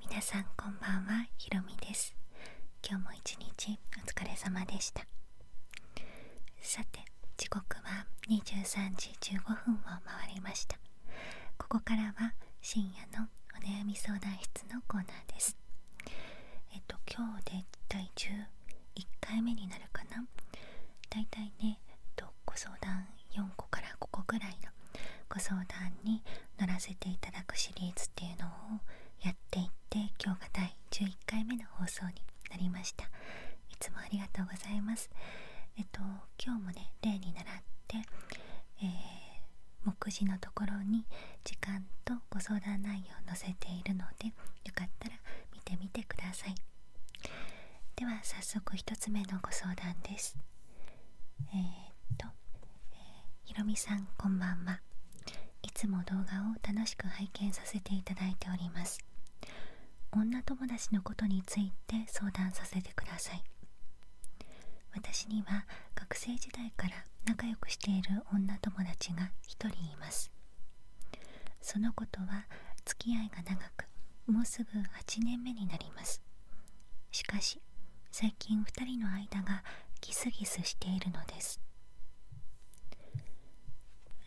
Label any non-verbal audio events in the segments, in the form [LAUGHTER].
皆さんこんばんはひろみです今日も一日お疲れ様でしたさて時刻は23時15分を回りましたここからは深夜のお悩み相談室のコーナーですえっと今日で体11回目になるかなだいたいね、ご相談4個から5個ぐらいのご相談に乗らせていただくシリーズっていうのをやっていって今日が第11回目の放送になりましたいつもありがとうございますえっと今日もね例に習って、え目次のところに時間とご相談内容を載せているのでよかったら見てみてくださいでは早速1つ目のご相談ですえっと、えー、ひろみさんこんばんはいつも動画を楽しく拝見させていただいております女友達のことについて相談させてください私には学生時代から仲良くしている女友達が1人いますそのことは付き合いが長くもうすぐ8年目になりますしかし最近2人の間がギスギスしているのです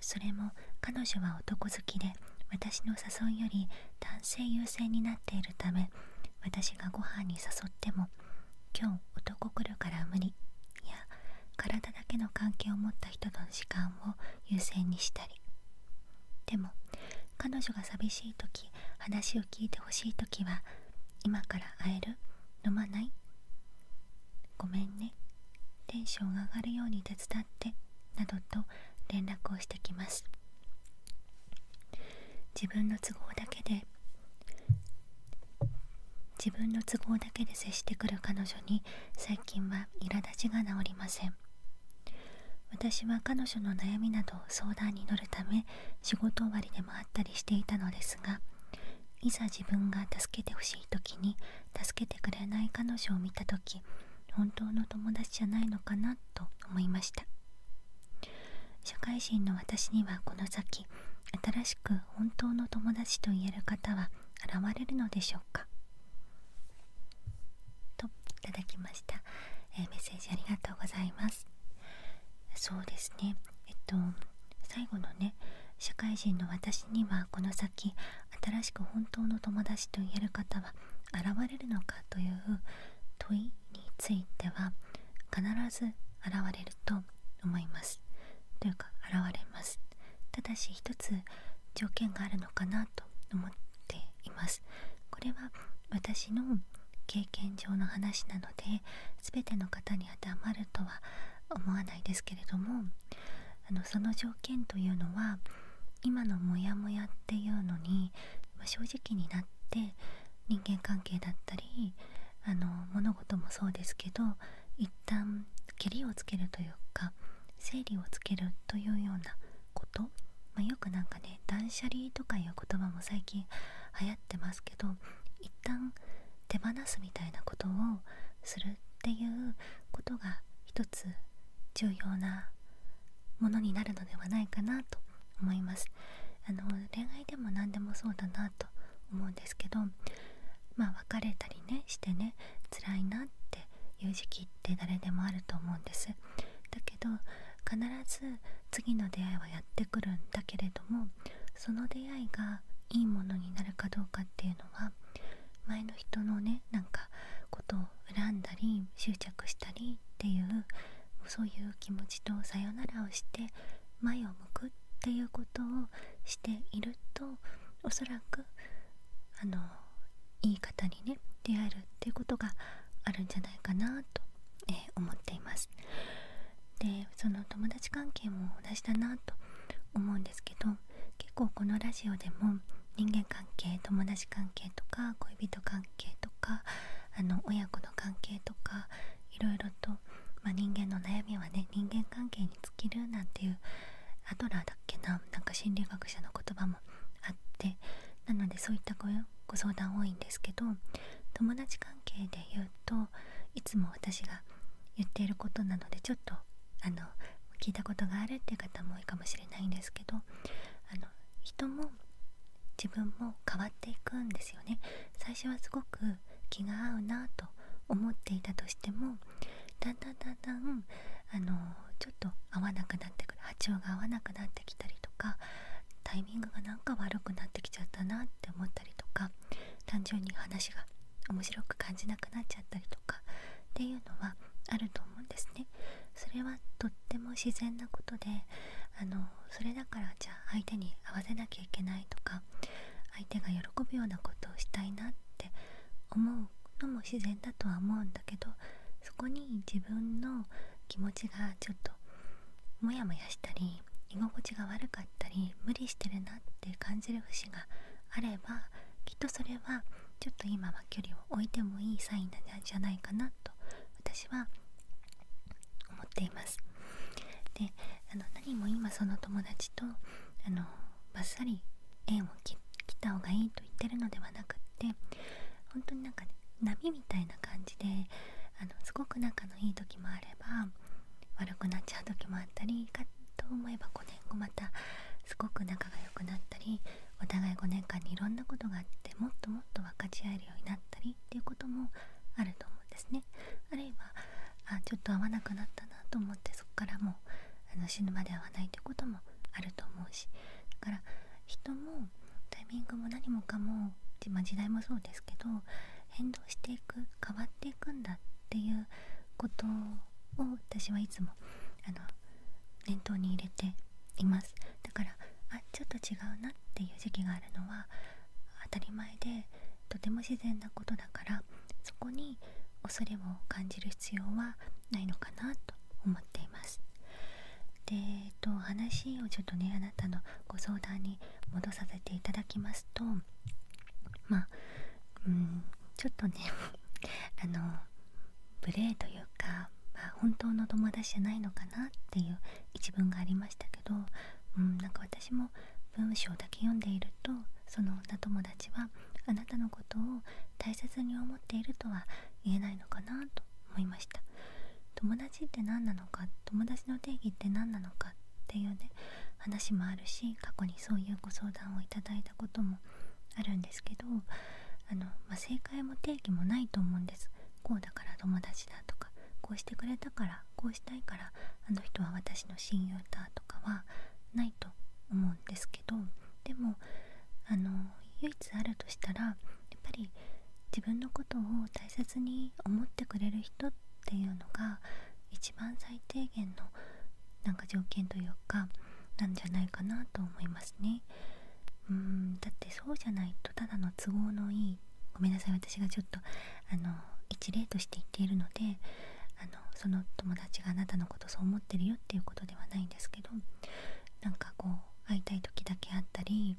それも彼女は男好きで私の誘いより男性優先になっているため私がご飯に誘っても「今日男来るから無理」や「体だけの関係を持った人の時間を優先にしたり」でも彼女が寂しい時話を聞いてほしい時は「今から会える飲まないごめんねテンションが上がるように手伝って」などと連絡をしてきます自分の都合だけで自分の都合だけで接してくる彼女に最近は苛立ちが治りません私は彼女の悩みなど相談に乗るため仕事終わりでもあったりしていたのですがいざ自分が助けてほしい時に助けてくれない彼女を見た時本当の友達じゃないのかなと思いました社会人の私にはこの先新しく本当の友達と言える方は現れるのでしょうかといただきました、えメッセージありがとうございますそうですねえっと最後のね社会人の私にはこの先新しく本当の友達と言える方は現れるのかという問いについては必ず現れると思いますというか現れますただし一つ条件があるのかなと思っていますこれは私の経験上の話なので全ての方に当てはまるとは思わないですけれどもあのその条件というのは今のモヤモヤっていうのに、ま正直になって人間関係だったりあの物事もそうですけど一旦けりをつけるというか整理をつけるというようなことまよくなんかね断捨離とかいう言葉も最近流行ってますけど一旦手放すみたいなことをするっていうことが一つ重要なものになるのではないかなと思いますあの恋愛でも何でもそうだなと思うんですけどま別れたりねしてね辛いなっていう時期って誰でもあると思うんですけど必ず次の出会いはやってくるんだけれどもその出会いがいいものになるかどうかっていうのは前の人のねなんかことを恨んだり執着したりっていうそういう気持ちとさよならをして前を向くっていうことをしているとおそらくあのいい方にね出会えるっていうことがあるんじゃないかなと、え思っていますでその友達関係も同じだなと思うんですけど結構このラジオでも人間関係友達関係とか恋人関係とかあの親子の関係とかいろいろと、ま人間の悩みはね人間関係に尽きるなんていうアドラーだっけななんか心理学者の言葉もあってなのでそういったご相談多いんですけど友達関係で言うといつも私が言っていることなのでちょっとあの聞いたことがあるっていう方も多いかもしれないんですけどあの人も自分も変わっていくんですよね最初はすごく気が合うなと思っていたとしてもだんだんだんだんあのちょっと合わなくなってくる波長が合わなくなってきたりとか多イングがなんか悪くなってきちゃったなって思ったりとか単純に話が面白く感じなくなっちゃったりとかっていうのはあると思うんですね。それはとっても自然なことであのそれだからじゃあ相手に合わせなきゃいけないとか相手が喜ぶようなことをしたいなって思うのも自然だとは思うんだけどそこに自分の気持ちがちょっとモヤモヤしたり居心地が悪かったり無理してるなって感じる節があればきっとそれはちょっと今は距離を置いてもいいサインなんじゃないかなと私は思っていますであの何も今その友達とあのバッサリ縁を切った方がいいと言ってるのではなくって本当になんか波みたいな感じであのすごく仲のいい時もあれば悪くなっちゃう時もあったりかと思えば5年後またすごく仲が良くなったりお互い5年間にいろんなことがあってもっともっと分かち合えるようになったりっていうこともあると思うんですね。あるいはあちょっと会わなくなったなと思ってそこからもうあの死ぬまで会わないということもあると思うしだから人もタイミングも何もかも、ま時代もそうですけど変動していく変わっていくんだっていうことを私はいつもあの念頭に入れていますだからあちょっと違うなっていう時期があるのは当たり前でとても自然なことだからそこに恐れを感じる必要はないのかなと思っています。でえっと話をちょっとねあなたのご相談に戻させていただきますとまあうんちょっとね [LAUGHS] あの無礼というか、本当の友達じゃないのかなっていう一文がありましたけど、うん、なんか私も文章だけ読んでいるとその女友達はあなたのことを大切に思っているとは言えないのかなと思いました友達って何なのか友達の定義って何なのかっていうね話もあるし過去にそういうご相談をいただいたこともあるんですけどあの、ま正解も定義もないと思うんですこうだから友達だとかこうしてくれたからこうしたいからあの人は私の親友だとかはないと思うんですけどでもあの唯一あるとしたらっぱり自分のことを大切に思ってくれる人っていうのが一番最低限のなんか条件というかなんじゃないかなと思いますねうんだってそうじゃないとただの都合のいいごめんなさい私がちょっとあの一例として言っているのであのその友達があなたのことそう思ってるよっていうことではないんですけどなんかこう会いたい時だけあったりに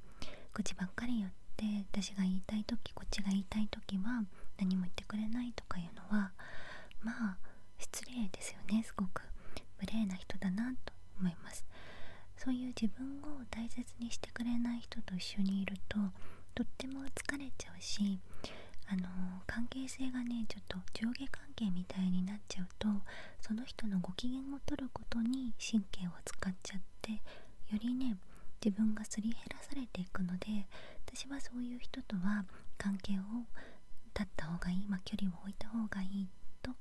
愚痴ばっかり言って私が言いたい時こっちが言いたい時は何も言ってくれないとかいうのはまあ失礼ですよねすごく無礼な人だなと思いますそういう自分を大切にしてくれない人と一緒にいるととっても疲れちゃうしあの関係性がねちょっと上下関係みたいになっちゃうとその人のご機嫌を取ることに神経を使っちゃって。っよりね自分がすり減らされていくので私はそういう人とは関係を立った方がいい、ま距離を置いた方がいいと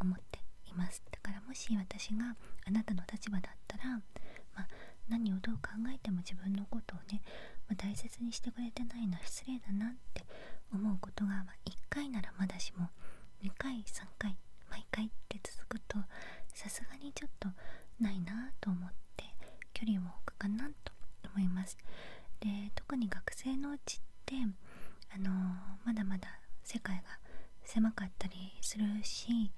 思っていますだからもし私があなたの立場だったら、ま何をどう考えても自分のことをね、ま大切にしてくれてないのは失礼だなって思うことが、ま1回ならまだしも2回3回毎回って続くとさすがにちょっとないなと思って距離を置くかなと思いますで特に学生のうちってあのまだまだ世界が狭かったりするし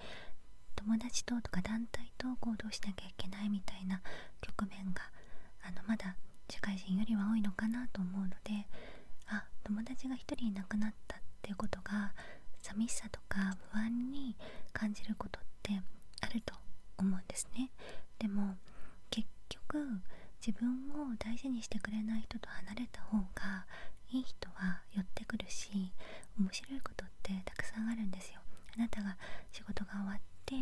友達ととか団体と行動しなきゃいけないみたいな局面があのまだ社会人よりは多いのかなと思うのであ友達が1人いなくなっっってことが寂しさとか不安に感じることってあると思うんですねでも結局自分を大事にしてくれない人と離れた方がいい人は寄ってくるし面白いことってたくさんあるんですよあなたが仕事が終わって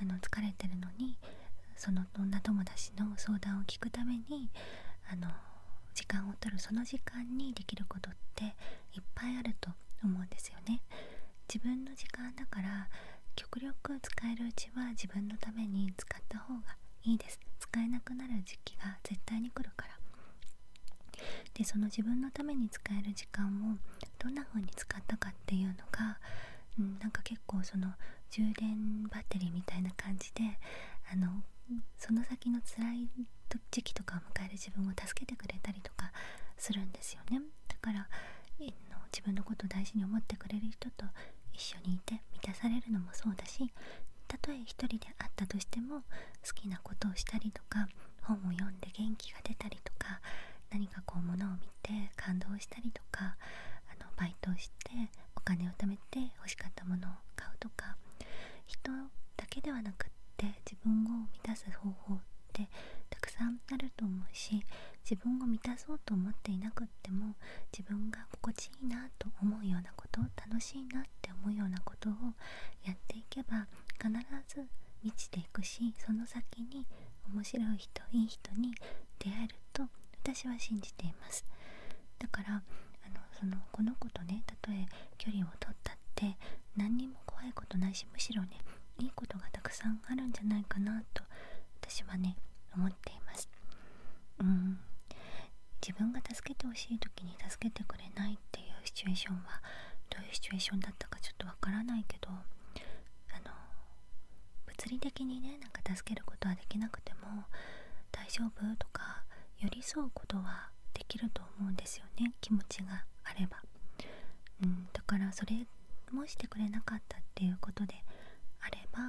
あの疲れてるのにその女友達の相談を聞くためにあの時間を取るその時間にできることっていっぱいあると思うんですよね自分の時間だから極力使えるうちは自分のために使った方がいいです使えなくなる時期が絶対に来るからでその自分のために使える時間をどんな風に使ったかっていうのが、うん、なんか結構その充電バッテリーみたいな感じであのその先の時期とかを迎える自分を助けてくれたりとかするんですよねだから自分のことを大事に思ってくれる人と一緒にいて満たされるのもそうだしたとえ一人であったとしても好きなことをしたりとか本を読んで元気が出たりとか何かこうものを見て感動したりとかあのバイトをしてお金を貯めて欲しかったものを買うとかだけではなくって自分を満たす方法ってたくさんあると思うし自分を満たそうと思っていなくっても自分が心地いいなと思うようなことを楽しいなって思うようなことをやっていけば必ず満ちていくしその先に面白い人いい人に出会えると私は信じています。だからあのそのこの子とねたとえ距離を取ったって何にも怖いことないしむしろねいいことがたくさんあるんじゃないかなと私はね思っていますうん自分が助けてほしい時に助けてくれないっていうシチュエーションはどういうシチュエーションだったかちょっとわからないけどあの物理的にねなんか助けることはできなくても大丈夫とか寄り添うことはできると思うんですよね気持ちがあれば、うん、だからそれもしてくれなかったっていうことであれば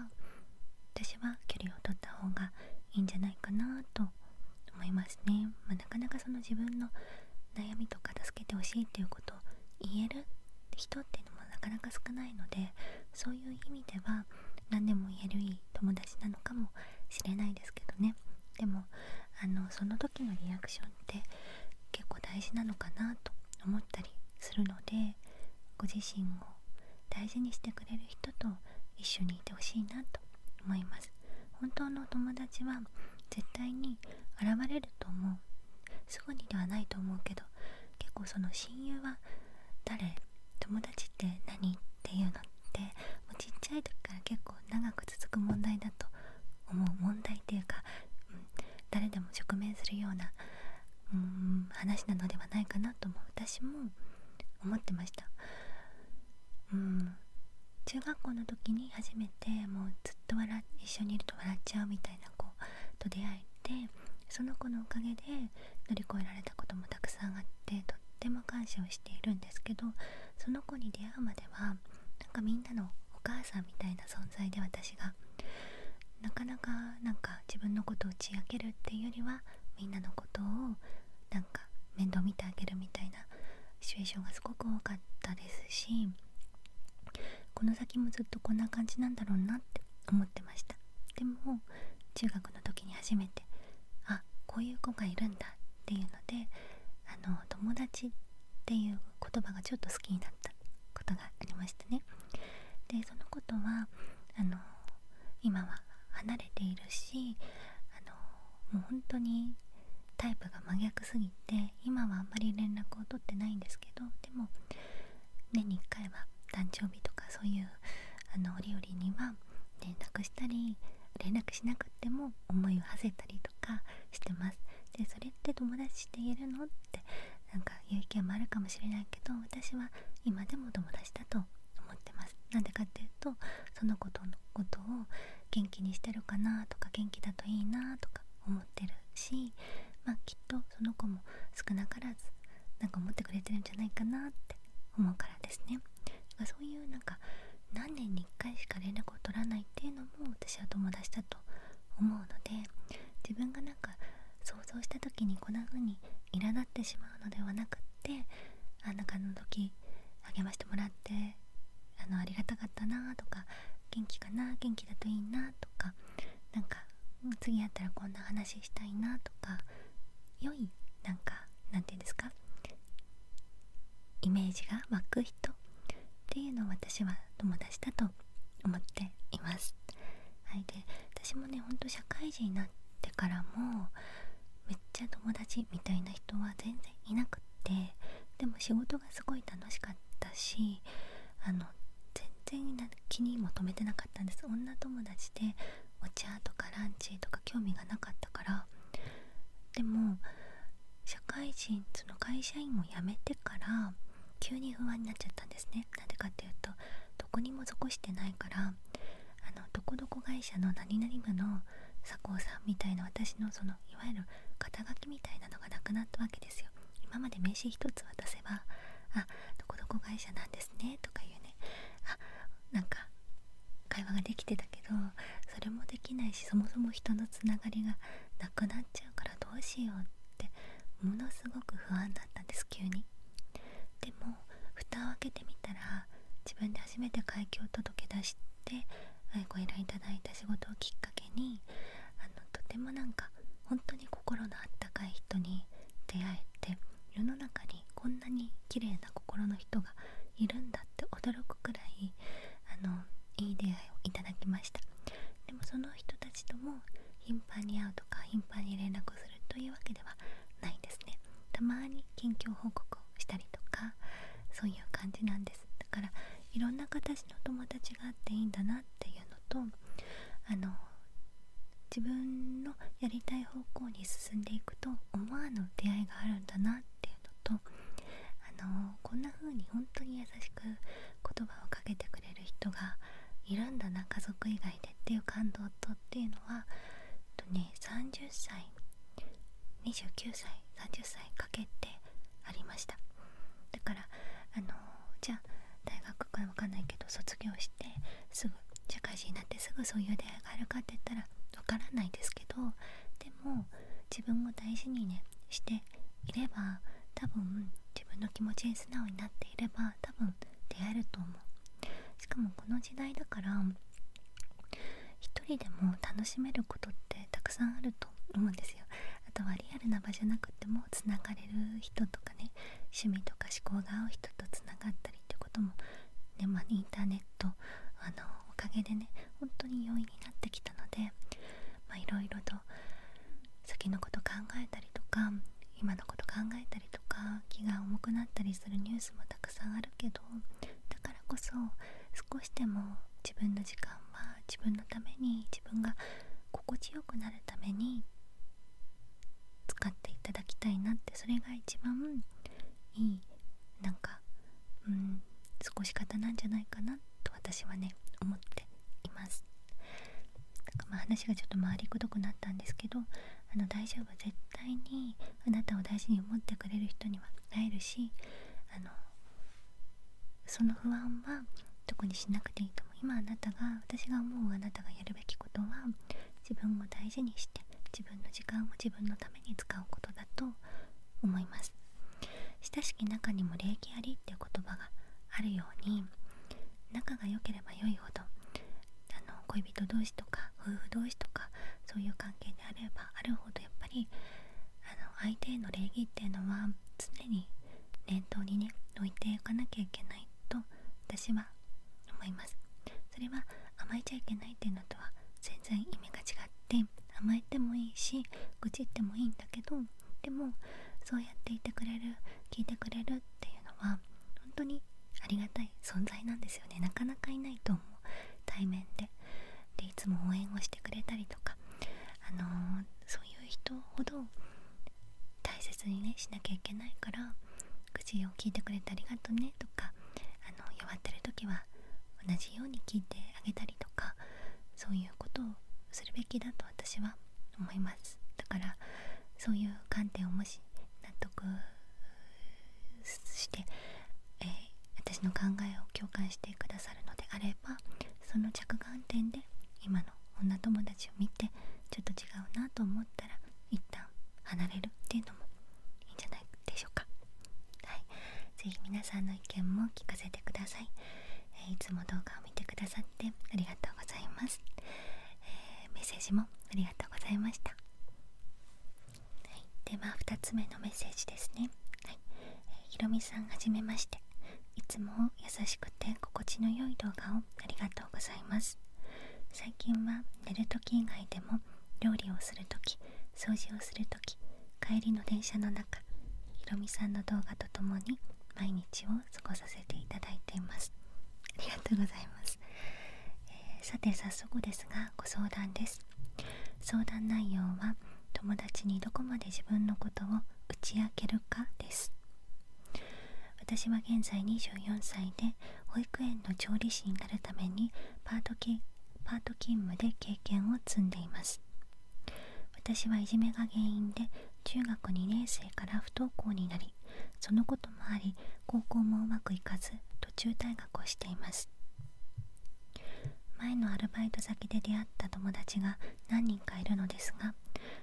私は距離を取った方がいいんじゃないかなと思いますね、まなかなかその自分の悩みとか助けてほしいっていうことを言える人っていうのもなかなか少ないのでそういう意味では何でも言える言い友達なのかもしれないですけどねでもあのその時のリアクションって結構大事なのかなと思ったりするのでご自身を大事にしてくれる人と一緒にいてほしいなと思います本当の友達は絶対に現れると思うすぐにではないと思うけど結構その親友は誰友達ってっていうのってもうちっちゃい時から結構長く続く問題だと思う問題っていうか、うん、誰でも直面するような、うん、話なのではないかなとも私も思ってました。うん中学校の時に初めてもうずっと笑一緒にいると笑っちゃうみたいな子と出会えてその子のおかげで乗り越えられたこともたくさんあってとっても感謝をしているんですけどその子に出会うまではなんかみんなのお母さんみたいな存在で私がなかなかなんか自分のことを打ち明けるっていうよりはみんなのことをなんか面倒見てあげるみたいなシチュエーションがすごく多かったですしこの先もずっとこんな感じなんだろうなって思ってましたでも中学の時に初めてあこういう子がいるんだっていうのであの友達っていう言葉がちょっと好きになったことがありましたねでそのことはあの今は離れているしあのもう本当にタイプが真逆すぎて今はあんまり連絡を取ってないんですけどでも年に1回は誕生日とかそういうあの折々には連絡したり連絡しなくても思いを馳せたりとかしてますでそれって友達って言えるのってなんかいうもあるかもしれないけど私は今でも友達だと思ってますなんでかっていうとそのことのことを元気にしてるかなとか元気だといいなとか思ってるしまあきっとその子も少なからずなんか思ってくれてるんじゃないかなって思うからですねそういうなんか何年に1回しか連絡を取らないっていうのも私は友達だと思うので自分がなんか想像した時にこんな風に苛立ってしまうのではなくってあなんかあの時励ましてもらってあのありがたかったなとか元気かな元気だといいなとかなんか次会ったらこんな話したいなとか良いなんかなんて言うんですかイメージが湧く人っていうのを私は友達だと思っています。はい、で私もねほんと社会人になってからもめっちゃ友達みたいな人は全然いなくってでも仕事がすごい楽しかったしあの全然気にも留めてなかったんです女友達でお茶とかランチとか興味がなかったからでも社会人その会社員を辞めてから急に不安になっちゃったんですねなんでかっていうとどこにも残してないからあのどこどこ会社の何々部の佐藤さんみたいな私のそのいわゆる肩書きみたいなのがなくなったわけですよ今まで名刺一つ渡せば「あどこどこ会社なんですね」とか言うね「あなんか会話ができてたけどそれもできないしそもそも人のつながりがなくなっちゃうからどうしようってものすごく不安だったんです急にでも蓋を開けてみたら自分で初めて会計を届け出してご依頼いただいた仕事をきっかけにあのとてもなんか本当に心のあったかい人に出会えて世の中にこんなに綺麗な心の人がいるんだって驚くくらいあのいい出会いをいただきましたでもその人たとも頻繁に会うとか頻繁に連絡するというわけではないですねたまに近況報告をしたりとかそういう感じなんですだからいろんな形の友達があっていいんだなっていうのとあの自分のやりたい方向に進んでいくと思わぬ出会いがあるんだなっていうとあのこんな風に本当に優しく言葉をかけてくれる人がいるんだな家族以外でっていう感動とっていうのは、えっとね、30歳29歳30歳かけてありましただからあのじゃあ大学かわかんないけど卒業してすぐ社会人になってすぐそういう出会いがあるかって言ったらわからないですけどっも自分を大事にねしていれば多分自分の気持ちに素直になっていれば多分出会えると思うしかもこの時代だから一人でも楽しめることってたくさんあると思うんですよあとはリアルな場じゃなくてもつながれる人とかね趣味とか思考が合う人とつながったりってことも、ねまあ、インターネットあのおかげでね本当に容易になってきたのでいろいろと先のこと考えたりとか今のこと考えたりとか気が重くなったりするニュースもたくさんあるけどだからこそ少しでも自分の時間は自分のために自分が心地よくなるために使っていただきたいなってそれが一番いいなんかうん少し方なんじゃないかなと私はね思っていますなかま話がちょっと回りくどくなったんですけどあの大丈夫絶対にあなたを大事に思ってくれる人には会えるしあのその不安は特にしなくていいと思今あなたが私が思うあなたがやるべきことは自分を大事にして自分の時間を自分のために使うことと思います親しき中にも礼儀ありっていう言葉があるように仲が良ければ良いほどあの恋人同士とか夫婦同士とかそういう関係であればあるほどやっぱりあの相手への礼儀っていうのは常に念頭にね置いていかなきゃいけないと私は思いますそれは甘えちゃいけないっていうのとは全然意味が違って甘えてもいいし愚痴ってもいいんだけどでもそうやっていてくれる聞いてくれるっていうのは本当にありがたい存在なんですよねなかなかいないと思う対面ででいつも応援をしてくれたりとか、あのそういう人ほど大切にねしなきゃいけないから「口を聞いてくれてありがとね」とかあの弱ってる時は同じように聞いてあげたりとかそういうことをするべきだと私は思いますだからそういう観点をもし納得して、え私の考えを共感してくださるのであればその着眼点で今の女友達を見てちょっと違うなと思ったら一旦離れるっていうのもいいんじゃないでしょうかはい是非皆さんの意見も聞かせてください、えいつも動画を見てくださってありがとうございます、えメッセージもありがとうございましたでは2つ目のメッセージですねはい、えー、ひろみさんはじめましていつも優しくて心地の良い動画をありがとうございます最近は寝る時以外でも料理をする時掃除をする時帰りの電車の中ひろみさんの動画とともに毎日を過ごさせていただいていますありがとうございます、えさて早速ですがご相談です相談内容は友達にどこまで自分のことを打ち明けるかです私は現在24歳で保育園の調理師になるためにパートパート勤務で経験を積んでいます私はいじめが原因で中学2年生から不登校になりそのこともあり高校もうまくいかず途中退学をしています前のアルバイト先で出会った友達が何人かいるのですが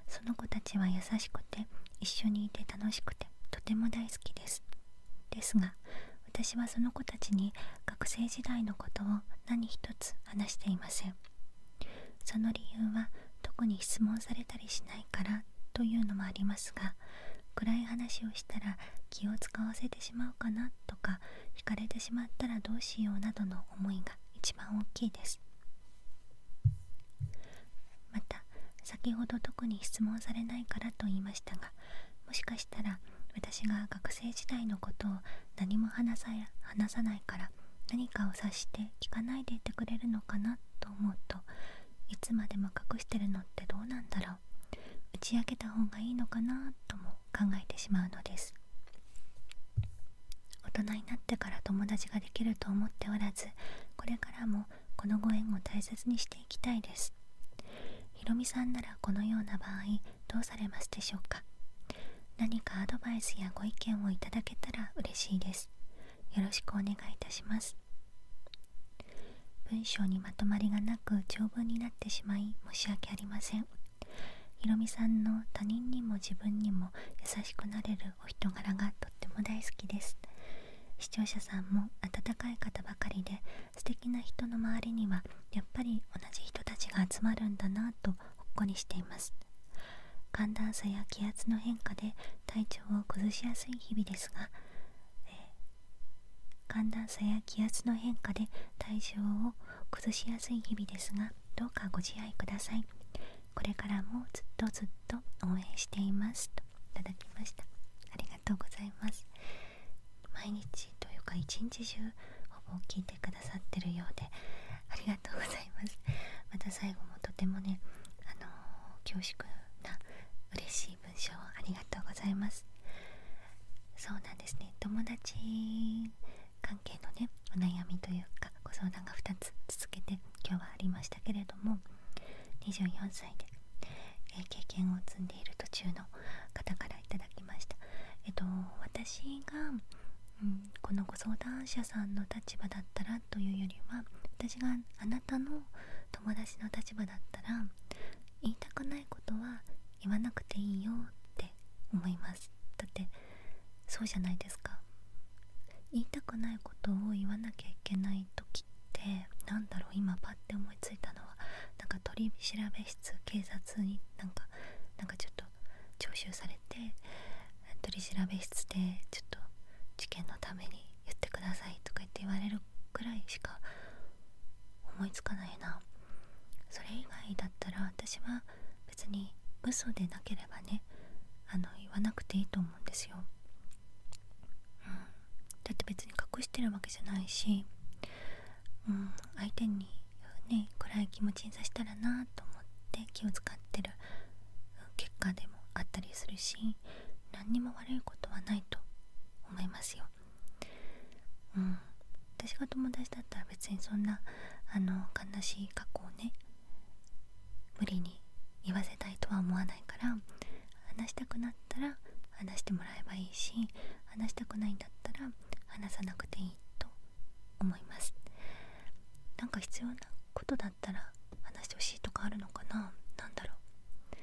その子たちは優しくて一緒にいて楽しくてとても大好きですですが私はその子たちに学生時代のことを何一つ話していませんその理由は特に質問されたりしないからというのもありますが暗い話をしたら気を使わせてしまうかなとか惹かれてしまったらどうしようなどの思いが一番大きいですまた先ほど特に質問されないからと言いましたがもしかしたら私が学生時代のことを何も話さや話さないから何かを察して聞かないでいてくれるのかなと思うといつまでも隠してるのってどうなんだろう打ち明けた方がいいのかなとも考えてしまうのです大人になってから友達ができると思っておらずこれからもこのご縁を大切にしていきたいですひろみさんならこのような場合どうされますでしょうか何かアドバイスやご意見をいただけたら嬉しいですよろしくお願いいたします文章にまとまりがなく長文になってしまい申し訳ありませんひろみさんの他人にも自分にも優しくなれるお人柄がとっても大好きです視聴者さんも温かい方ばかりで素敵な人の周りにはやっぱり同じ人たちが集まるんだなとほっこりしています寒暖差や気圧の変化で体調を崩しやすい日々ですが、え寒暖差や気圧の変化で体調を崩しやすい日々ですがどうかご自愛くださいこれからもずっとずっと応援していますといただきましたありがとうございます毎日というか一日中ほぼ聞いてくださってるようでありがとうございますまた最後もとてもねあの恐縮な嬉しい文章をありがとうございますそうなんですね友達関係のねお悩みというかご相談が2つ続けて今日はありましたけれども24歳で、え経験を積んでいる途中の方からいただきましたえっと、私が、うん、このご相談者さんの立場だったらというよりは私があなたの友達の立場だったら言いたくないことは言わなくていいよって思いますだってそうじゃないですか言いたくないことを言わなきゃいけない時って何だろう今パッて思いついたのはなんか取り調べ室警察になんかなんかちょっと徴収されて取り調べ室でちょっと事件のために言ってくださいとか言って言われるくらいしか思いつかないなそれ以外だったら私は別に嘘でなければねあの言わなくていいと思うんですよ、うん、だって別に隠してるわけじゃないしうん、相手に、ね、暗い気持ちにさせたらなと思って気を使ってる結果でもあったりするし何にも悪いことはないと思いますよ。うん私が友達だったら別にそんなあの悲しい過去をね無理に言わせたいとは思わないから話したくなったら話してもらえばいいし話したくないんだったら話さなくていいと思いますなんか必要なことだったら話してほしいとかあるのかな何だろう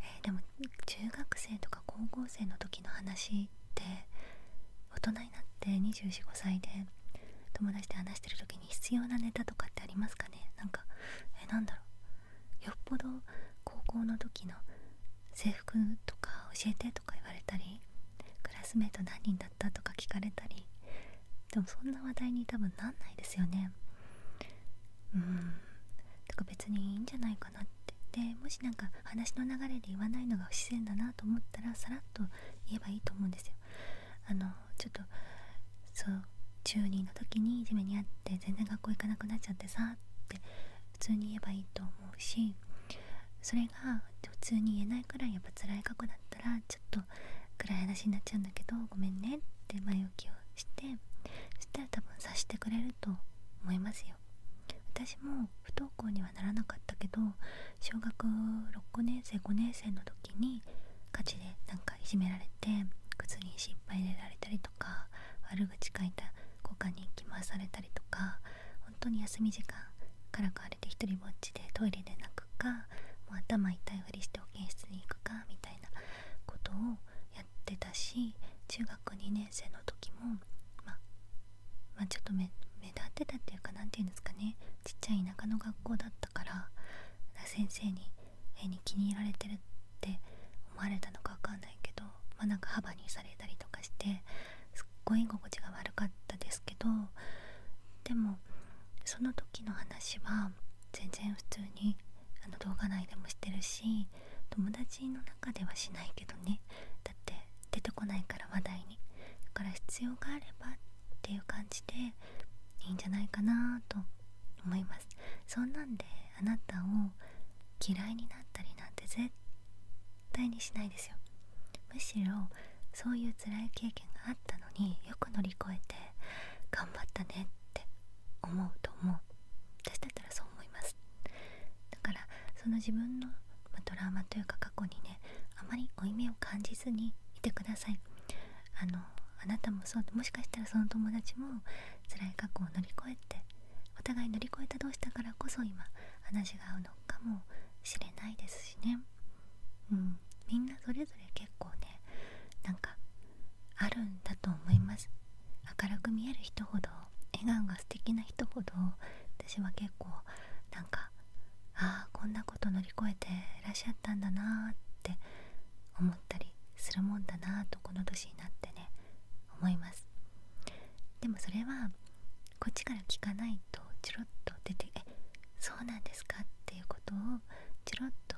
えでも中学生とか高校生の時の話って大人になって245歳で友達で話してる時に必要なネタとかってありますかねなんかえなんだろうよっぽど高校の時の制服とか教えてっとか言われたりクラスメート何人だったとか聞かれたりでもそんな話題に多分なんないですよねうんだか別にいいんじゃないかなってでもし何か話の流れで言わないのが不自然だなと思ったらさらっと言えばいいと思うんですよあのちょっとそう中2の時にいじめにあって全然学校行かなくなっちゃってさって普通に言えばいいと思うしそれが普通に言えないくらいやっぱ辛い過去だったらちょっと暗い話になっちゃうんだけどごめんねって前置きをしてそしたら多分察してくれると思いますよ私も不登校にはならなかったけど小学6年生5年生の時にガチでなんかいじめられて靴に失敗入れられたりとか悪口書いた交換に行回されたりとか本当に休み時間からかわれて一人ぼっちでトイレで泣くかもう頭痛いふりして保健室に行くかみたいなことをやってたし中学2年生の時もまあ、ちょっと目立ってたっていうか何て言うんですかねちっちゃい田舎の学校だったから先生に絵に気に入られてるって思われたのか分かんないけどまなんか幅にされたりとかしてすっごい居心地が悪かったですけどでもその時の話は全然普通にあの動画内でもしてるし友達の中ではしないけどねだって出てこないから話題にだから必要があればっていう感じでいいんじゃないかなと思いますそんなんであなたを嫌いになったりなんて絶対にしないですよむしろそういう辛い経験があったのによく乗り越えて頑張ったねって思うと思う私だったらそう思いますだからその自分の、まあ、ドラマというか過去にねあまり負い目を感じずにいてくださいあのあなたもそうもしかしたらその友達も辛い過去を乗り越えてお互い乗り越えた同士だからこそ今話が合うのかもしれないですしねうんみんなそれぞれ結構ねなんかあるんだと思います明るく見える人ほど笑顔が素敵な人ほど私は結構なんかああこんなこと乗り越えてらっしゃったんだなーって思ったりするもんだなとこの年になってね思いますでもそれはこっちから聞かないとチロッと出て「えそうなんですか?」っていうことをチロッと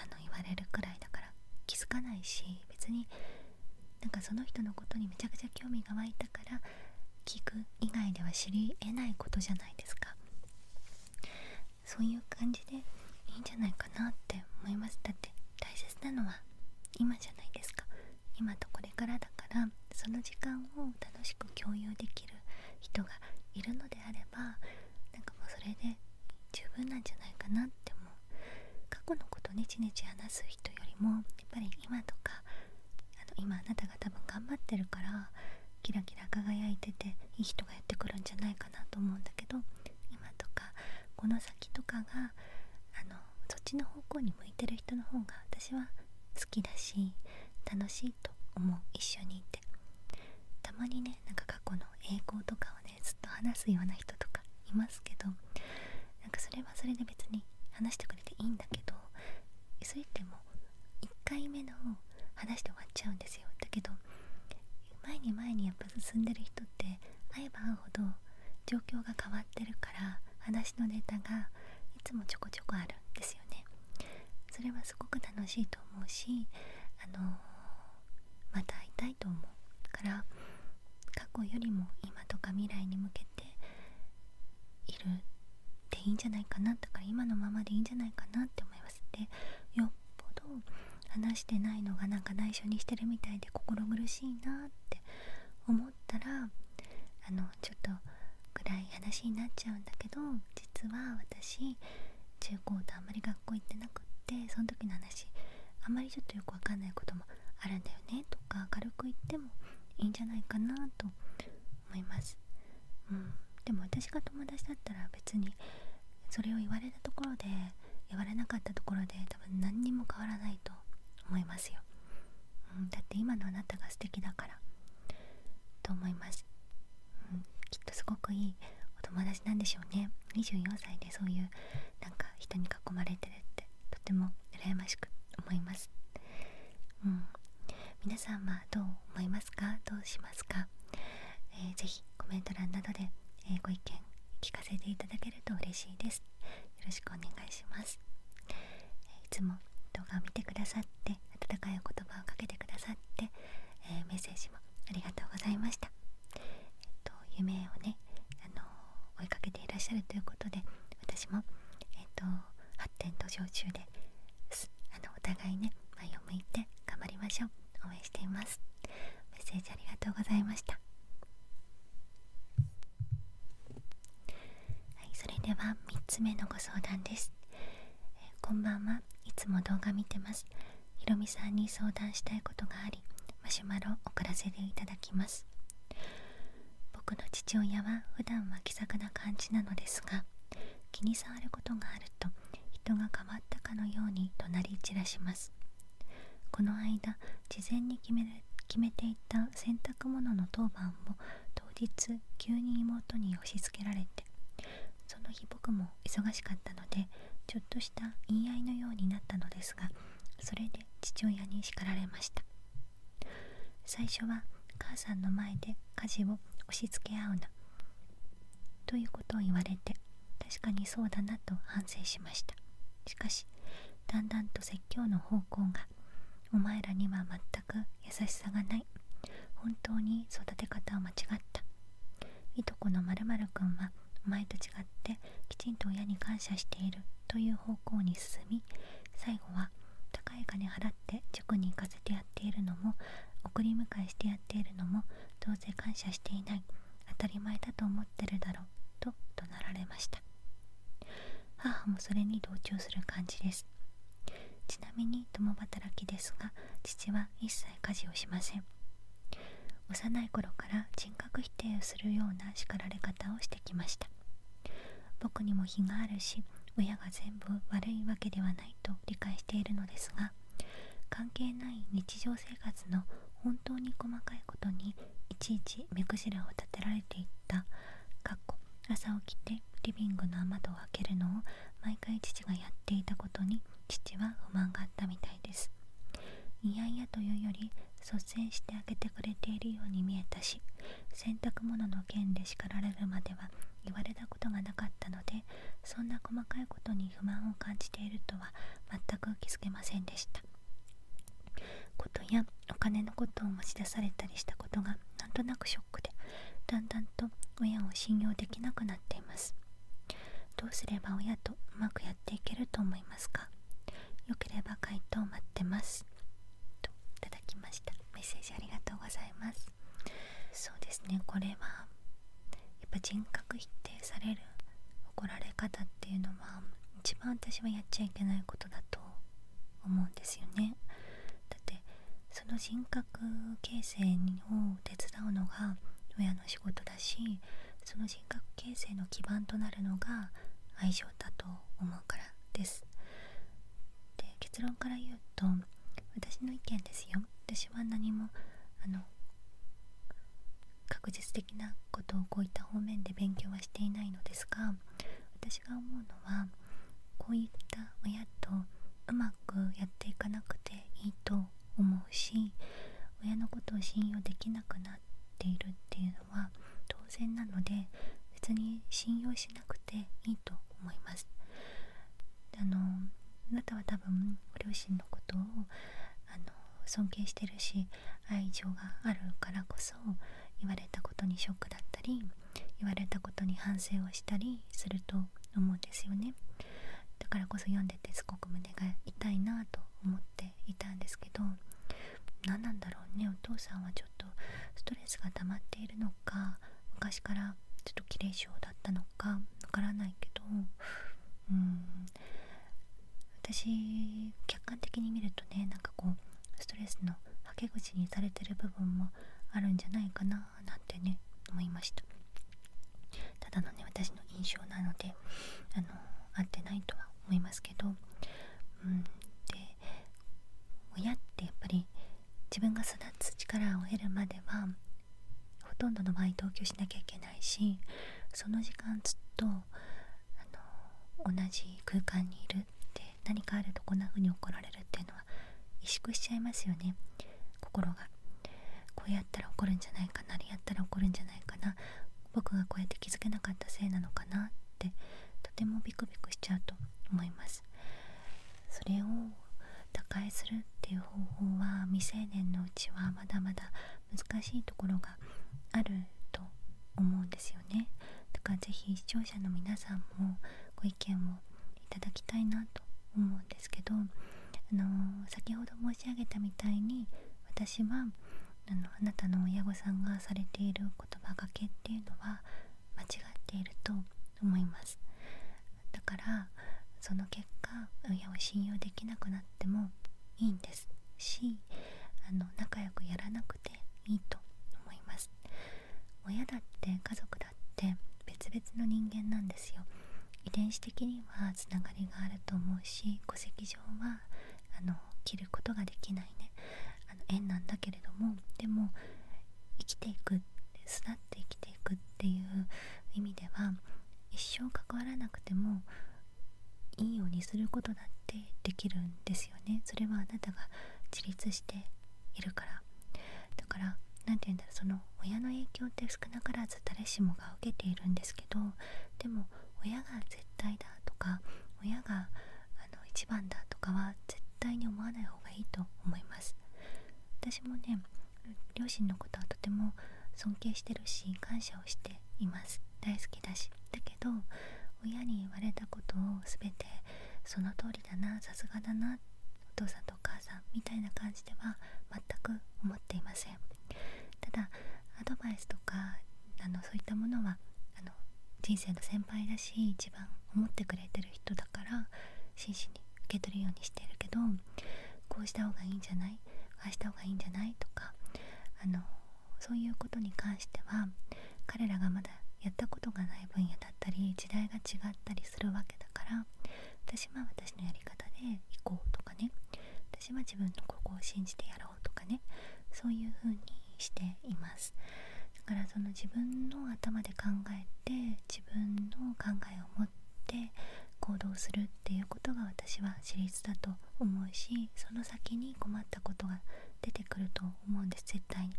あの言われるくらいだから気づかないし別になんかその人のことにめちゃくちゃ興味が湧いたから聞く以外では知りえないことじゃないですかそういう感じでいいんじゃないかなって思いますだって大切なのは今じゃないですか今とこれからだからその時間を楽しく共有できる人がいるのであればなんかもうそれで十分なんじゃないかなって思う過去のことをねちねち話す人よりもやっぱり今とかあの今あなたが多分頑張ってるからキラキラ輝いてていい人がやってくるんじゃないかなと思うんだけど今とかこの3先とかがあのそっちの方向に向いてる人の方が私は好きだし楽しいと思う一緒にいてたまにねなんか過去の栄光とかをねずっと話すような人とかいますけどなんかそれはそれで別に話してくれていいんだけどそれっても1回目の話で終わっちゃうんですよだけど前に前にやっぱ進んでる人って会えば会うほど状況が変わわるから話のネタがいつもちょこちょこあるんですよねそれはすごく楽しいと思うしあのまた会いたいと思うから過去よりも今とか未来に向けているでいいんじゃないかなとか今のままでいいんじゃないかなって思いますでよっぽど話してないのがなんか内緒にしてるみたいで心苦しいなって思ったらあのちょっと暗い話になっちゃうんだけど実は私中高とあんまり学校行ってなくってその時の話あんまりちょっとよくわかんないこともあるんだよねとか明るく言ってもいいんじゃないかなと思います、うん、でも私が友達だったら別にそれを言われたところで言われなかったところで多分何にも変わらないと思いますよだって今のあなたが素敵だからと思います、きっとすごくいいお友達なんでしょうね24歳でそういうなんか人に囲まれてるってとても羨ましく思います、うん、皆さんはどう思いますかどうしますか、えー、ぜひコメント欄などで、えご意見聞かせていただけると嬉しいですよろしくお願いしますいつも動画を見てくださって温かいお言葉をかけてくださって、えメッセージもありがとうございました、夢をね、あの追いかけていらっしゃるということで私も、えっと、発展途上中ですあのお互いね前を向いて頑張りましょう応援していますメッセージありがとうございましたはい、それでは3つ目のご相談です、こんばんはいつも動画見てますひろみさんに相談したいことがありマシュマロを送らせていただきます僕の父親は普段は気さくな感じなのですが気に障ることがあると人が変わったかのように怒鳴り散らしますこの間事前に決め決めていた洗濯物の当番も当日急に妹に押し付けられてその日僕も忙しかったのでちょっとした言い合いのようになったのですがそれで父親に叱られました最初は母さんの前で家事を押し付け合うなということを言われて確かにそうだなと反省しましたしかしだんだんと説教の方向がお前らには全く優しさがない本当に育て方は間違ったいとこのまるくんはお前と違ってきちんと親に感謝しているという方向に進み最後は高い金払って塾に行かせてやっているのも送り迎えしてやっているのもどうせ感謝していない当たり前だと思ってるだろうと怒鳴られました母もそれに同調する感じですちなみに共働きですが父は一切家事をしません幼い頃から人格否定をするような叱られ方をしてきました僕にも非があるし親が全部悪いわけではないと理解しているのですが関係ない日常生活の本当に細かいことにいちいち目くじらを立てられていったかっこ朝起きてリビングの雨戸を開けるのを毎回父がやっていたことに父は不満があったみたいですいやいやというより率先して開けてくれているように見えたし洗濯物の件で叱られるまでは言われたことがなかったのでそんな細かいことに不満を感じているとは全く気づけませんでしたことやお金のことを持ち出されたりしたことがなんとなくショックでだんだんと親を信用できなくなっていますどうすれば親とうまくやっていけると思いますかよければ回答待ってますといただきましたメッセージありがとうございますそうですねこれはやっぱ人格否定される怒られ方っていうのは一番私はやっちゃいけないことだと思うんですよね。だってその人格形成を手伝うのが親の仕事だしその人格形成の基盤となるのが愛情だと思うからです。で結論から言うと私の意見ですよ私は何もあの確実的なことをこういった方面で勉強はしていないのですが私が思うのはこういった親とうまくやっていかなくていいと思うし親のことを信用できなくなっているっていうのは当然なので別に信用しなくていいと思います。あのあなたは多分両親のことをあの尊敬してるし愛情があるからそ言われたことにショックだったり言われたことに反省をしたりすると思うんですよねだからこそ読んでてすごく胸が痛いなと思っていたんですけど何なんだろうねお父さんはちょっとストレスが溜まっているのか昔からちょっと綺麗性だったのかわからないけどうん私客観的に見るとねなんかこうストレスのはけ口にされてる部分もあるんじゃないかななんてね思いましたただのね私の印象なのであの合ってないとは思いますけどうんで親ってやっぱり自分が育つ力を得るまではほとんどの場合同居しなきゃいけないしその時間ずっと同じ空間にいるって何かあるとこんな風に怒られるっていうのは萎縮しちゃいますよね心がこうやったら怒るんじゃないかなあれやったら怒るんじゃないかな僕がこうやって気づけなかったせいなのかなってとてもビクビクしちゃうと思いますそれを打開するっていう方法は未成年のうちはまだまだ難しいところがあると思うんですよねだから是非視聴者の皆さんもご意見をいただきたいなと思うんですけど、あの先ほど申し上げたみたいに私はあのあなたの親御さんがされている言葉がけっていうのは間違っていると思いますだからその結果親を信用できなくなってもいいんですしあの仲良くやらなくくいいと思います親だって家族だって別々の人間なんですよ遺伝子的にはつながりがあると思うし戸籍上はあの切ることができないねあの縁なんだけれどもでも生きていく巣立って生きていくっていう意味では一生関わらなくてもいいようにすることだってできるんですねそれはあなたが自立しているからだから何て言うんだろうその親の影響って少なからず誰しもが受けているんですけどでも親が絶対だとか親があの一番だとかは絶対に思わない方がいいと思います私もね両親のことはとても尊敬してるし感謝をしています大好きだしだけど親に言われたことを全てその通りだなさすがだなお父さんとお母さんみたいな感じでは全く思っていませんただアドバイスとかあのそういったものはあの人生の先輩だし一番思ってくれてる人だから真摯に受け取るようにしてるけどこうした方がいいんじゃないああした方がいいんじゃないとかあのそういうことに関しては彼らがまだやったことがない分野だったり時代が違ったりするわけだから私は私のやり方で行こうとかね私は自分のここを信じてやろうとかねそういう風にしていますだからその自分の頭で考えて自分の考えを持って行動するっていうことが私は私立だと思うしその先に困ったことが出てくると思うんです絶対に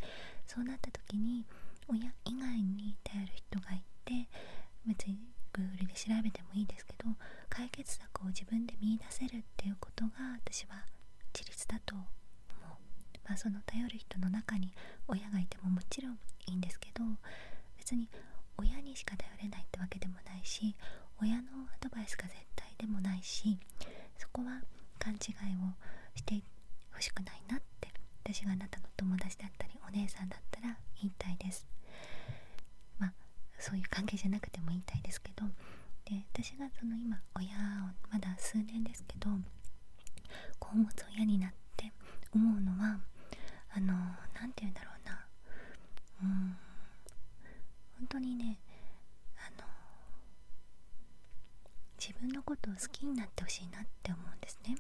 そうなった時に親以外に頼る人がいて別に Google で調べてもいいですけど解決策を自分で見いだせるっていうこが私は自立だと思う、まその頼る人の中に親がいてももちろんいいんですけど別に親にしか頼れないってわけでもないし親のアドバイスが絶対でもないしそこは勘違いをしてほしくないなって私があなたの友達だったりお姉さんだったら言いたいですまあそういう関係じゃなくても言いたいですけどで私がその今親をまだ数年ですけど子を持つ親になって思うのはあの何て言うんだろうなうん本当にねあの自分のことを好きになってほしいなって思うんですね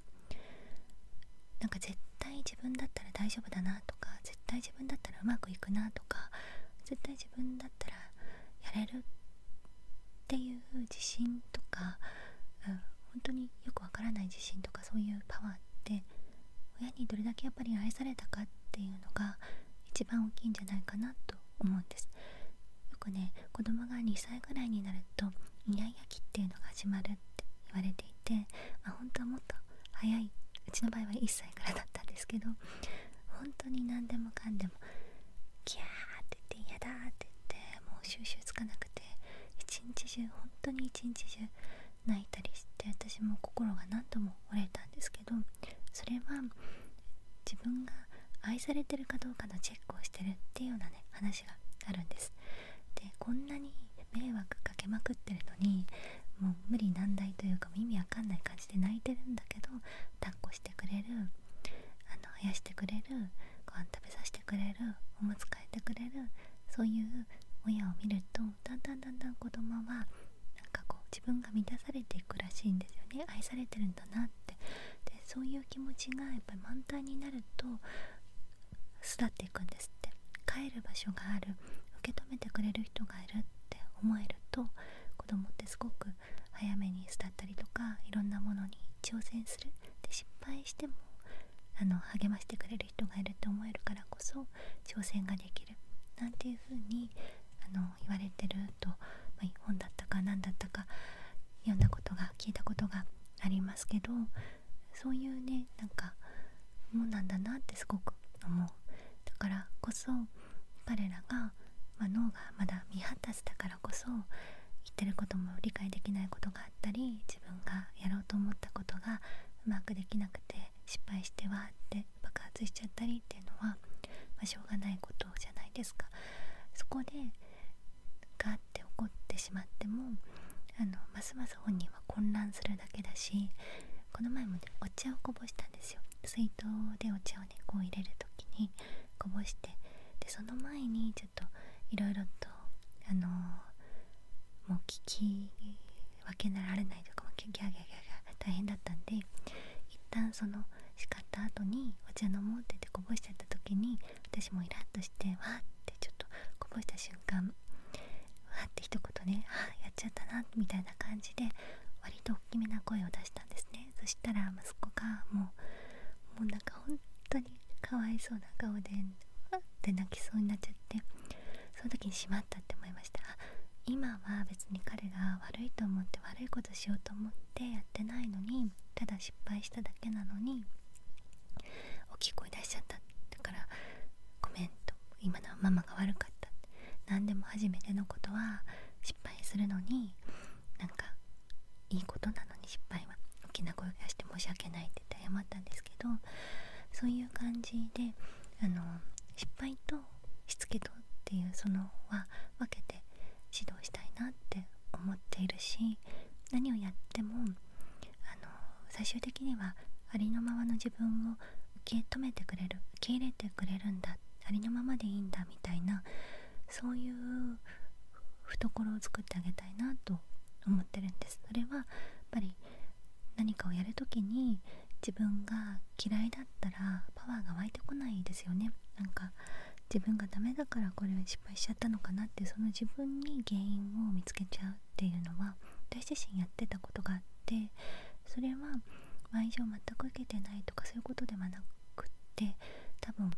なんか絶対自分だったら大丈夫だなとか絶対自分だったらうまくいくなとか絶対自分だったらやれるっていう自信とか、うん、本当によくわからない自信とかそういうパワーって親にどれだけやっぱり愛されたかっていうのが一番大きいんじゃないかなと思うんですよくね子供が2歳ぐらいになるとイヤイヤ期っていうのが始まるって言われていて、まあ、本当はもっと早いうちの場合は1歳からだったんですけど本当に何でもかんでもキャーって言って嫌だって言ってもう収集つかなくて一日中本当に一日中泣いたりして私も心が何度も折れたんですけどそれは自分が愛されてるかどうかのチェックをしてるっていうようなね話があるんですでこんなに迷惑かけまくってるのにもう無理難題というか意味わかんない感じで泣いてるんだけど抱っこしてくれるあの生やしてくれるご飯食べさせてくれるおむつ替えてくれるそういう親を見るとだんだんだんだん子供はなんかこう自分が満たされていくらしいんですよね愛されてるなってでそういう気持ちがやっぱり満タンになると育っていくんですって帰る場所がある受け止めてくれる人がいるって思えると子供ってすごく早めに育ったりとかいろんなものに挑戦するって。失敗してもあの励ましてくれる人がいるって思えるからこそ挑戦ができるなんていう風にあの言われてると、まあ、本だったか何だったか読んだことが聞いたことがありますけどそういうねなんかもんなんだなってすごく思うだからこそ彼らが、ま脳がまだ未発達だからこそ言ってることも理解できないことがあったり自分がやろうと思ったことがうまくできなくて失敗してはって爆発しちゃったりっていうのはましょうがないことじゃないですかそこでガーって怒ってしまってもあのますます本人は混乱するだけだしこの前もお茶をこぼしたんですよ水筒でお茶をねこう入れる時にこぼしてでその前にちょっといろいろとあのもう聞き分けなられないとかもギャギャギャギャ大変だったんで一旦その叱った後にお茶飲もうっててこぼしちゃった時に私もイラッとしてわーってちょっとこぼした瞬間わって一言ねあやっちゃったなみたいな感じで割と大きめな声を出したんですねそしたら息子がもうもうなんか本当にかわいそうな顔でわって泣きそうになっちゃってその時にしまったって思いました今は別に彼が悪いと思って悪いことしようと思っっやってないのにただ失敗しただけなのに大きい声出しちゃっただからごめんと今のはママが悪かった何でも初めてのことは失敗するのになんかいいことなのに失敗は大きな声出して申し訳ないって言って謝ったんですけどそういう感じであの失敗としつけとっていうそのは分けて指導したいなって思っているし何をやってもあの最終的にはありのままの自分を受け止めてくれる受け入れてくれるんだありのままでいいんだみたいなそういう懐を作ってあげたいなと思ってるんですそれはやっぱり何かをやるときに自分が嫌いだったらパワーが湧いてこないですよねなんか自分がダメだからこれ失敗しちゃったのかなってその自分に原因を見つけちゃうっていうのは私自身やってたことがあってそれは愛情全く受けてないとかそういうことではなくって多分、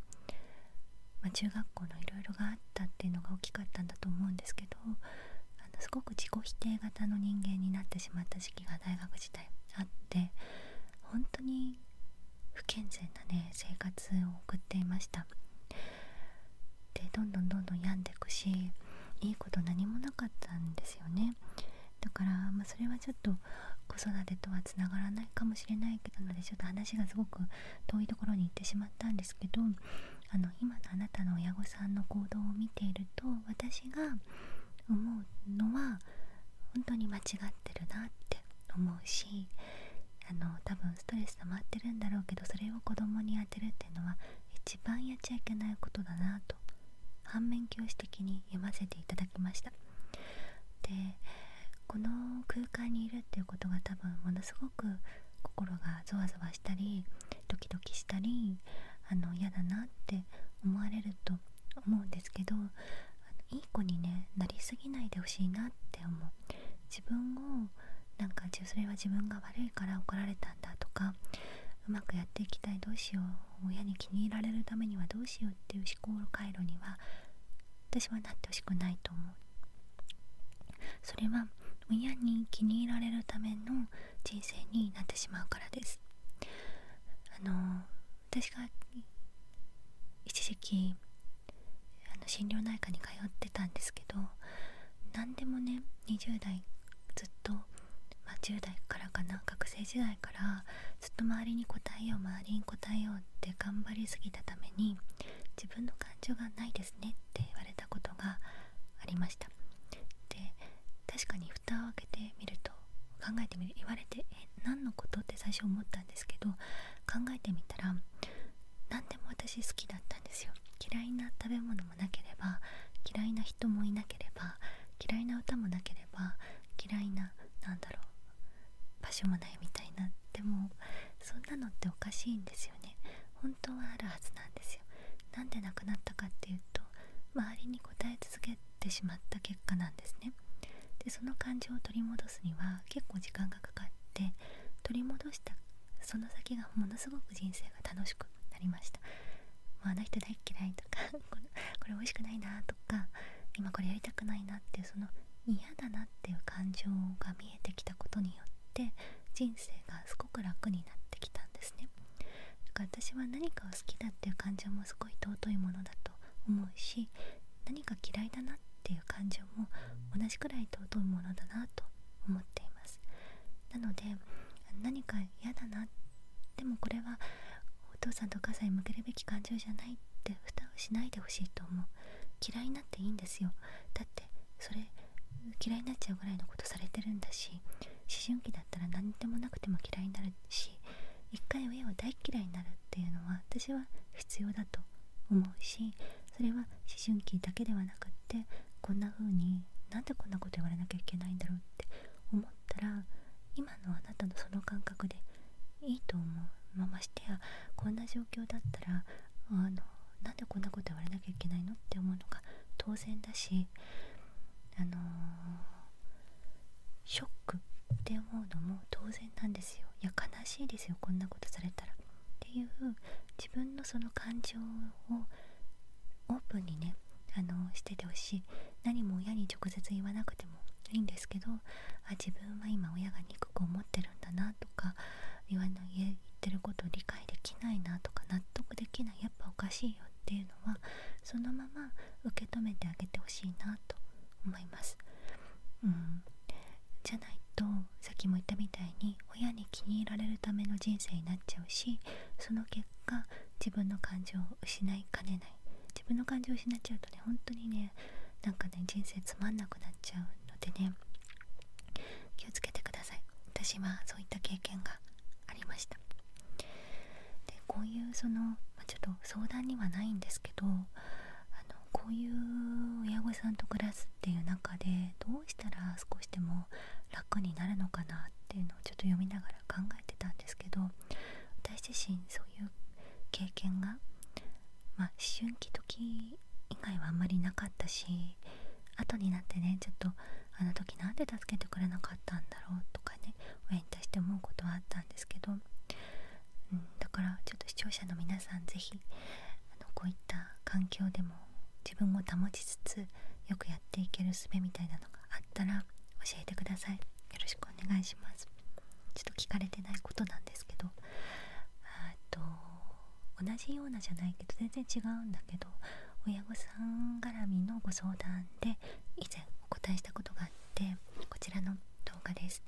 ま中学校のいろいろがあったっていうのが大きかったんだと思うんですけどあのすごく自己否定型の人間になってしまった時期が大学時代あって本当に不健全なね生活を送っていましたでどんどんどんどん病んでくしいいこと何もなかったんですよねだから、まそれはちょっと子育てとはつながらないかもしれないけどのでちょっと話がすごく遠いところに行ってしまったんですけどあの今のあなたの親御さんの行動を見ていると私が思うのは本当に間違ってるなって思うしあの多分ストレス溜まってるんだろうけどそれを子供に当てるっていうのは一番やっちゃいけないことだなと反面教師的に読ませていただきましたでこの空間にいるっていうことが多分ものすごく心がゾワゾワしたりドキドキしたりあの嫌だなって思われると思うんですけどいい子に、ね、なりすぎないでほしいなって思う自分をなんかそれは自分が悪いから怒られたんだとかうまくやっていきたいどうしよう親に気に入られるためにはどうしようっていう思考回路には私はなってほしくないと思うそれは親に気に入られるための人生になってしまうからですあの私が一時期あの心療内科に通ってたんですけど何でもね20代ずっと、ま10代からかな学生時代からずっと周りに答えよう周りに答えようって頑張りすぎたために自分の感情がないですねって言われたことがありましたで確かに蓋を開けてみると考えてみる言われてえ何のことって最初思ったんですけど考えてみたら何でも私好きだったんですよ嫌いな食べ物もなければ嫌いな人もいなければ嫌いな歌もなければ嫌いな何だろう場所もないみたいなでもそんなのっておかしいんですよね本当はあるはずなんですよなんで亡くなったかっていうと周りに答え続けてしまった結果なんですねでその感情を取り戻すには結構時間がかかって取り戻したその先がものすごく人生が楽しくなりましたもうあの人大っ嫌いとか [LAUGHS] これこれ美味しくないなとか今これやりたくないなっていうその嫌だなっていう感情が見えてきたことによって人生がすごく楽になってきたんですねだから私は何かを好きだっていう感情もすごい尊いものだ思うし何か嫌いだなっていう感情も同じくらい尊いものだなと思っていますなので何か嫌だなでもこれはお父さんとお母さんに向けるべき感情じゃないって蓋をしないでほしいと思う嫌いになっていいんですよだってそれ嫌いになっちゃうぐらいのことされてるんだし思春期だったら何でもなくても嫌いになるし一回親は大嫌いになるっていうのは私は必要だと思うしそれは思春期だけではなくってこんな風になんでこんなこと言われなきゃいけないんだろうって思ったら今のあなたのその感覚でいいと思う、まましてやこんな状況だったらあのなんでこんなこと言われなきゃいけないのって思うのが当然だしあのショックって思うのも当然なんですよいや悲しいですよこんなことされたらっていう自分のその感情をオープンにねあのしててほしい何も親に直接言わなくてもいいんですけどあ自分は今親が憎く思ってるんだなとか言わない言ってることを理解できないなとか納得できないやっぱおかしいよっていうのはそのまま受け止めてあげてほしいなと思います。うんじゃないとさっきも言ったみたいに親に気に入られるための人生になっちゃうしその結果自分の感情を失いかねない自分の感情を失っちゃうとね本当にねなんかね人生つまんなくなっちゃうのでね気をつけてください私はそういった経験がありましたでこういうそのちょっと相談にはないんですけどあのこういう親御さんと暮らすっていう中でどうしたら少しでも楽になるのかなっていうのをちょっと読みながら考えてたんですけど私自身そういう経験が、まあ、思春期時以外はあんまりなかったし後になってねちょっとあの時なんで助けてくれなかったんだろうとかね親に対して思うことはあったんですけどうん、だからちょっと視聴者の皆さん是非こういった環境でも自分を保ちつつよくやっていける術みたいなのがあったら教えてくださいよろしくお願いしますちょっと聞かれてないことなんですけどと同じようなじゃないけど全然違うんだけど親御さん絡みのご相談で以前お答えしたことがあってこちらの動画です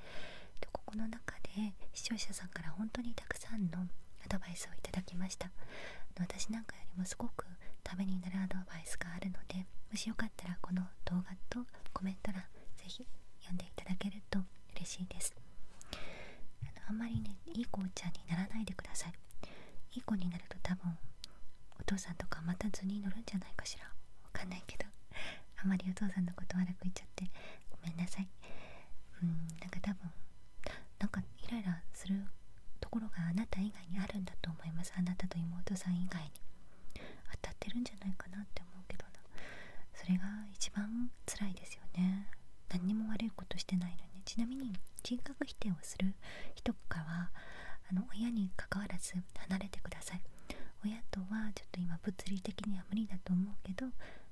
でここの中で視聴者さんから本当にたくさんのアドバイスをいただきました私なんかよりもすごくためになるアドバイスがあるのでもしよかったらこの動画とコメント欄是非読んでいただけると嬉しいですああんまりねいい子ちゃんにならないでくださいいい子になると多分お父さんとかまた図に乗るんじゃないかしらわかんないけどあまりお父さんのこと悪く言っちゃってごめんなさいうんなんか多分なんかイライラするところがあなた以外にあるんだと思いますあなたと妹さん以外に当たってるんじゃないかなって思うけどなそれが一番つらいですよね何にも悪いことしてないのにちなみに人格否定をする人かはあの親にかかわらず離れてください親とはちょっと今物理的には無理だと思うけど、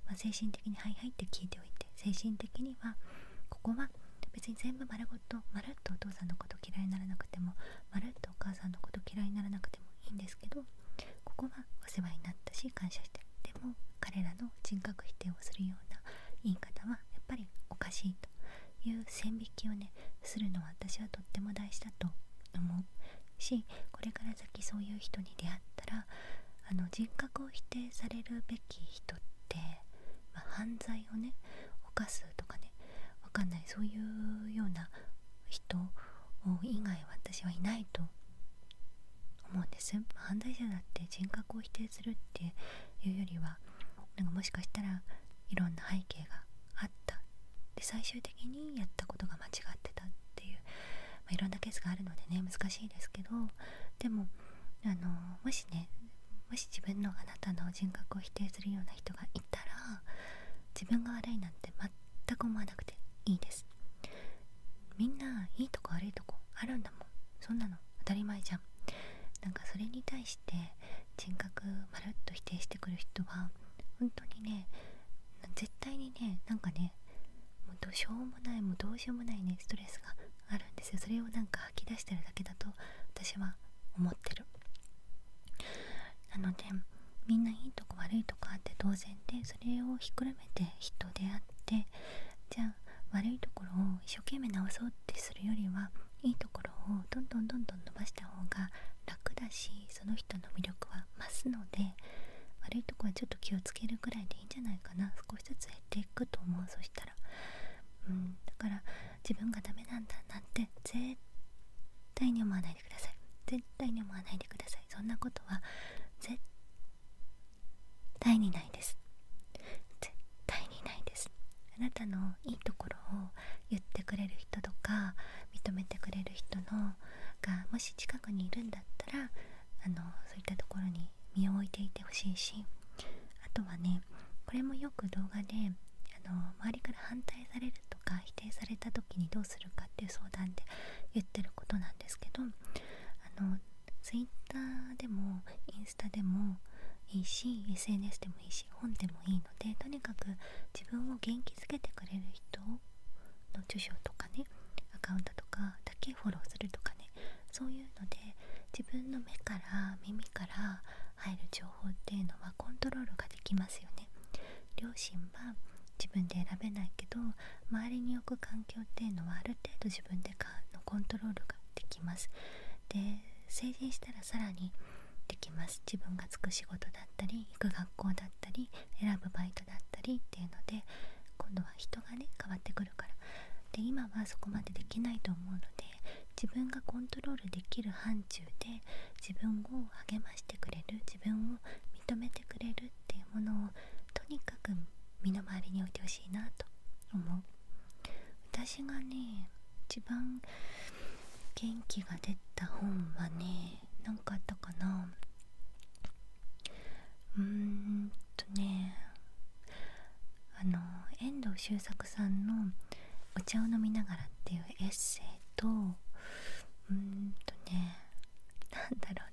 ま精神的に「はいはい」って聞いておいて精神的にはここは別に全部丸ごとまるっとお父さんのこと嫌いにならなくてもまるっとお母さんのこと嫌いにならなくてもいいんですけどここはお世話になったし感謝してでも彼らの人格否定をするような言い方はやっぱりおかしいという線引きをねするのは私はとっても大事だと思うしこれから先そういう人に出会ったらあの人格を否定されるべき人って、ま犯罪をね犯すとかねわかんないそういうような人以外私はいないと思うんです犯罪者だって人格を否定するっていうよりはなんかもしかしたらいろんな背景があったで最終的にやったことが間違ってたっていうまいろんなケースがあるのでね難しいですけどでもあのもしねもし自分のあなたの人格を否定するような人がいたら自分が悪いなんて全く思わなくていいですみんないいとこ悪いとこあるんだもんそんなの当たり前じゃんなんかそれに対して人格まるっと否定してくる人は本当にね絶対にねなんかねもうどうしようもないもうどうしようもないねストレスがあるんですよそれをなんか吐き出してるだけだと私は思ってるなのでみんないいとこ悪いとこあって当然でそれをひっくるめて人であってじゃあ悪いところを一生懸命直そうってするよりはいいところをどんどんどんどん伸ばした方が楽だしその人の魅力は増すので悪いとこはちょっと気をつけるぐらいでいいんじゃないかな少しずつ減っていくと思うそしたらうんだから自分がダメなんだなんて絶対に思わないでください絶対に思わないでくださいそんなことは絶対にないです絶対にないですあなたのいいところを言ってくれる人とか認めてくれる人のがもし近くにいるんだったらあのそういったところに身を置いていてほしいしあとはねこれもよく動画であの周りから反対されるとか否定された時にどうするかっていう相談で言ってることなんですけどあの Twitter でもインスタでもいいし SNS でもいいし本でもいいのでとにかく自分を元気づけてくれる人の著書とかねアカウントとかだけフォローするとかねそういうので自分の目から耳から入る情報っていうのはコントロールができますよね両親は自分で選べないけど周りに置く環境っていうのはある程度自分でのコントロールができますで成人したらさらにできます自分がつく仕事だったり行く学校だったり選ぶバイトだったりっていうので今度は人がね変わってくるからで今はそこまでできないと思うので自分がコントロールできる範疇で自分を励ましてくれる自分を認めてくれるっていうものをとにかく身の回りに置いてほしいなと思う私がね一番元気が出た本はね何かあったかなうーんとねあの遠藤周作さんの「お茶を飲みながら」っていうエッセイとうんとねなんだろ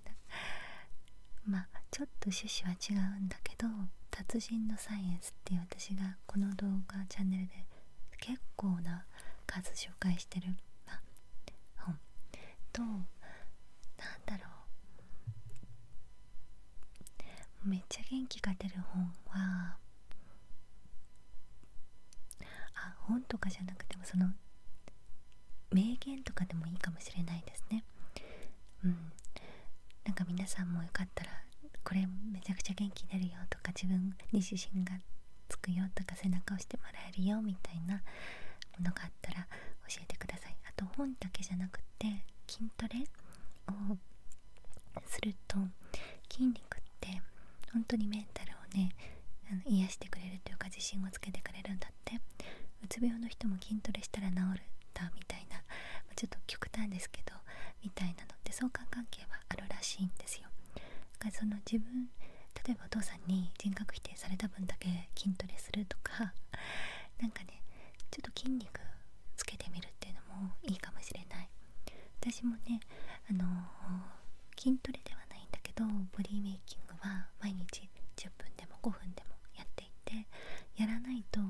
うなまあちょっと趣旨は違うんだけど「達人のサイエンス」っていう私がこの動画チャンネルで結構な数紹介してる、本となんだろうめっちゃ元気が出る本はあ本とかじゃなくてもその名言とかでもいいかもしれないですねうんなんか皆さんもよかったらこれめちゃくちゃ元気出るよとか自分に自信がつくよとか背中を押してもらえるよみたいなものがあったら教えてくださいあと本だけじゃなくて筋トレをすると筋肉って本当にメンタルをねあの癒してくれるというか自信をつけてくれるんだってうつ病の人も筋トレしたら治るんだみたいな、まちょっと極端ですけどみたいなのって相関関係はあるらしいんですよ。だからその自分例えばお父さんに人格否定された分だけ筋トレするとかなんかねちょっと筋肉つけてみるっていうのもいいかもしれない私もねあの筋トレではないんだけどボディメイキングは毎日10分でも5分でもやっていてやらないと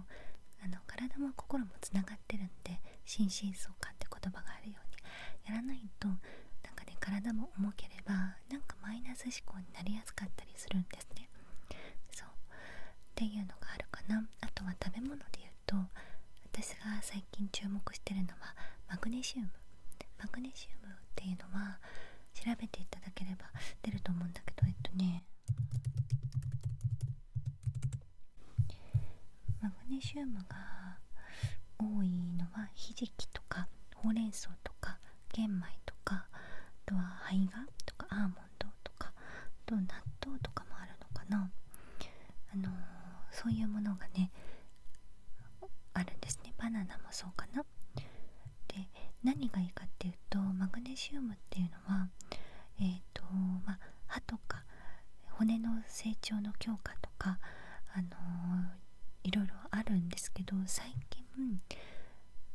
あの体も心もつながってるんで心身相関って言葉があるようにやらないとなんかね体も重ければなんかマイナス思考になりやすかったりするんですね。そうっていうのがあるかなあとは食べ物で言うと私が最近注目してるのはマグネシウムマグネシウムっていうのは調べていただければ出ると思うんだけどえっとねマグネシウムが多いのはひじきとかほうれん草とか玄米とかあとは胚芽とかアーモンドとかあと納豆とかもあるのかなあのそういうものがねあるんですねバナナもそうかなで何がいいかっていうとマグネシウムっていうのはえっ、とまあ歯とか骨の成長の強化とかあのいろいろあるんですけど最近分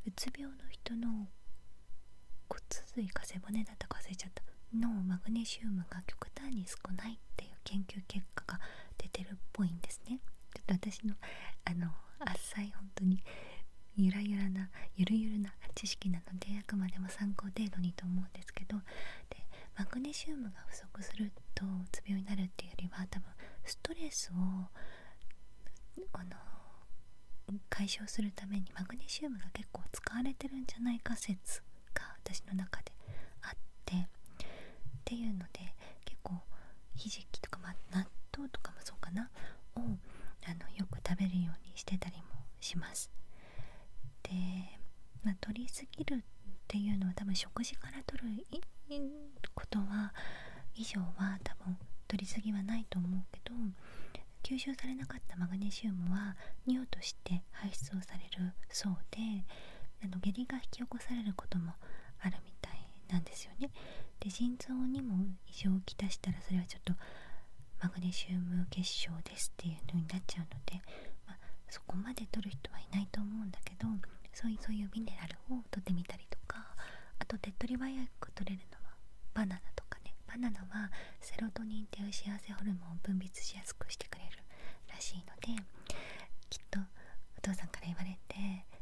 うつ病の人の骨髄か背骨だったか忘れちゃったのマグネシウムが極端に少ないっていう研究結果が出てるっぽいんですねちょっと私のあの浅い本当にゆらゆらなゆるゆるな知識なのであくまでも参考程度にと思うんですけどでマグネシウム足するとうつ病になるっていうよりは多分ストレスをあの解消するためにマグネシウムが結構使われてるんじゃないか説が私の中であってっていうので結構ひじきとか、まあ、納豆とかもそうかなをあのよく食べるようにしてたりもしますで、まあ、取りすぎるっていうのは多分食事から取るいことは以上は多分取り過ぎはないと思うけど吸収されなかったマグネシウムは尿として排出をされるそうであの下痢が引き起こされることもあるみたいなんですよね。で腎臓にも異常をきたしたらそれはちょっとマグネシウム結晶ですっていうのになっちゃうので、まそこまで取る人はいないと思うんだけどそういうミネラルを取ってみたりとかあと手っ取り早く取れるのはバナナとかねバナナはセロトニンっていう幸せホルモンを分泌しやすくしてくれるらしいのできっとお父さんから言われて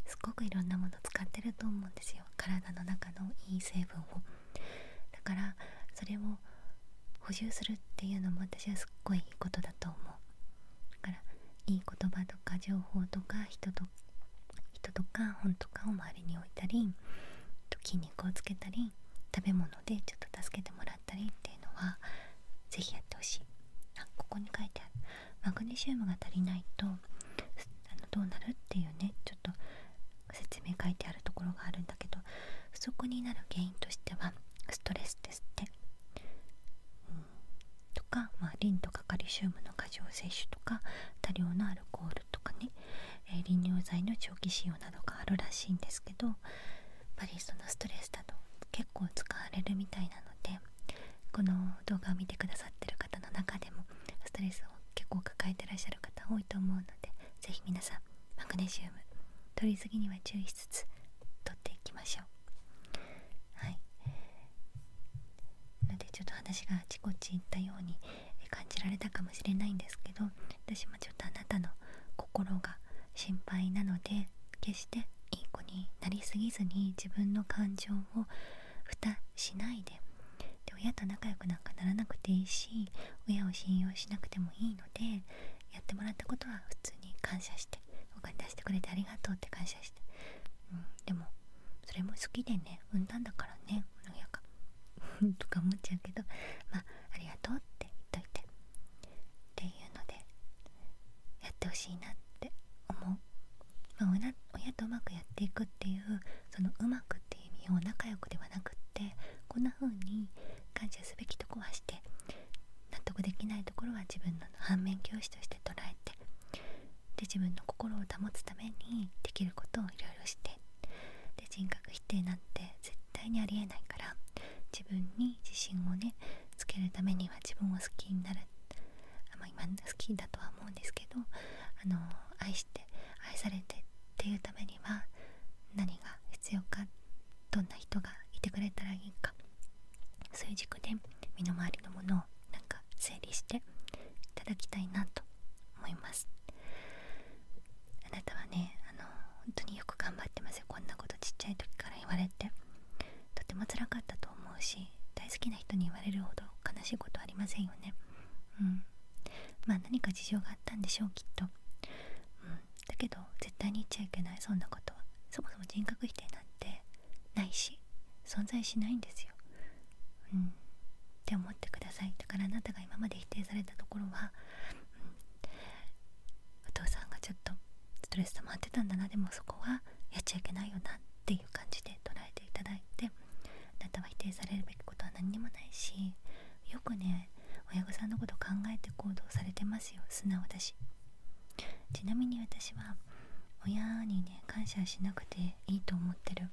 すっごくいろんなもの使ってると思うんですよ体の中のいい成分をだからそれを補充するっていうのも私はすっごいいいことだと思うだからいい言葉とか情報とか人と人とか本とかを周りに置いたり筋肉をつけたり食べ物でちょっと助けてもらったりっていうのは是非やってほしいあここに書いてあるマグネシウムが足りないとどうなるっていうねちょっと説明書いてあるところがあるんだけど不足になる原因としてはストレスですって、とか、まリンとかカリシウムの過剰摂取とか多量のアルコールとかね、えー、利尿剤の長期使用などがあるらしいんですけどやっぱりのストレスだと結構使われるみたいなのでこの動画を見てくださってる方の中でもストレスを結構抱えてらっしゃる方多いと思うので是非皆さんマグネシウム取り過ぎには注意しつつ取っていきましょう。はいなのでちょっと話があちこち行ったように感じられたかもしれないんですけど私もちょっとあなたの心が心配なので決していい子になりすぎずに自分の感情を蓋しないでで親と仲良くなんかならなくていいし親を信用しなくてもいいのでやってもらったことは普通に感謝してお金出してくれてありがとうって感謝して。うん、でもそれも好きでね産んだんだからねおやか [LAUGHS] とか思っちゃうけどまありがとうって言っといてっていうのでやってほしいなって思う、親とうまくやっていくっていうそのうまくっていう意味を仲良くではなくってこんな風に感謝すべきとこはして納得できないところは自分の反面教師として捉えてで自分の心を保つためにできることをいろいろしてで人格否定なんて絶対にありえないから自分に自信をねつけるためには自分を好きになるあま今好きだとは思うんですけどあの愛して愛されてっていうためには何が必要かどんな人がいてくれたらいいかそういう軸で身の回りのものをなんか整理していただきたいなと思いますあなたはねあの本当によく頑張ってますよこんなことちっちゃい時から言われてとてもつらかったと思うし大好きな人に言われるほど悲しいことありませんよねうんまあ何か事情があったんでしょうきっと、うん、だけど絶対に言っちゃいけないそんなことはそもそも人格否定なんてないし存在しないんですよ。うん、って思ってくださいだからあなたが今まで否定されたところは、お父さんがちょっとストレス溜まってたんだなでもそこはやっちゃいけないよなっていう感じで捉えていただいてあなたは否定されるべきことは何にもないしよくね親御さんのこと考えて行動されてますよ素直だし。ちなみに私は親にね感謝しなくていいと思ってる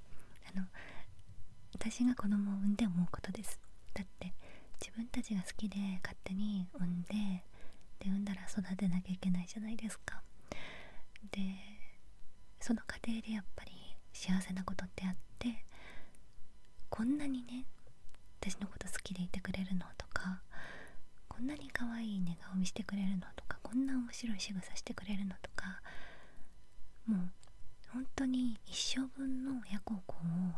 あの私が子供を産んで思うことですだって自分たちが好きで勝手に産んでで産んだら育てなきゃいけないじゃないですかでその過程でやっぱり幸せなことってあってこんなにね私のこと好きでいてくれるのとかこんなに可愛い寝顔見せてくれるのとかこんな面白い仕草してくれるのとかもう本当に一生分の親孝行を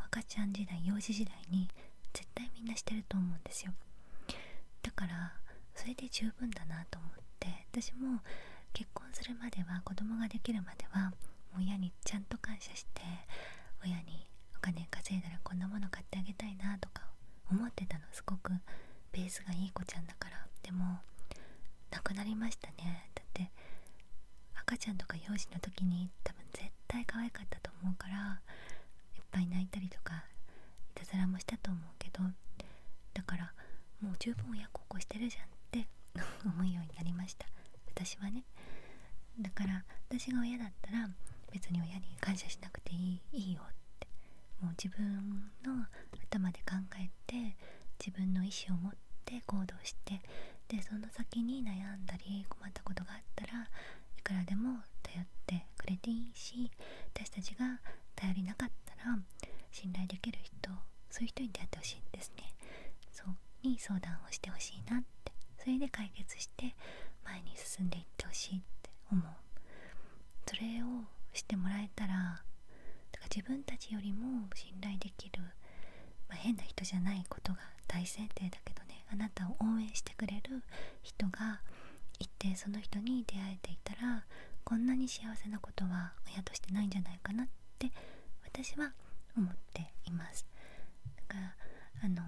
赤ちゃん時代幼児時代に絶対みんなしてると思うんですよだからそれで十分だなと思って私も結婚するまでは子供ができるまでは親にちゃんと感謝して親にお金稼いだらこんなもの買ってあげたいなとか思ってたのすごくベースがいい子ちゃんだからでもなくなりましたねだって赤ちゃんとか幼児の時に多分絶対可愛かったと思うからいっぱい泣いたりとかいたずらもしたと思うけどだからもう十分親孝行してるじゃんって [LAUGHS] 思うようになりました私はねだから私が親だったら別に親に感謝しなくていいいいよってもう自分の頭で考えて自分の意思を持って行動してでその先に悩んだり困ったことがあったらいくらでも頼ってくれていいし私たちが頼りなかったら信頼できる人そういう人に出会ってほしいですねそうに相談をしてほしいなってそれで解決して前に進んでいってほしいって思うそれをしてもらえたらだか自分たちよりも信頼できる、ま変な人じゃないことが大前提だけどねあなたを応援してくれる人がいてその人に出会えていたらこんなに幸せなことは親としてないんじゃないかなって私は思っていますだからあの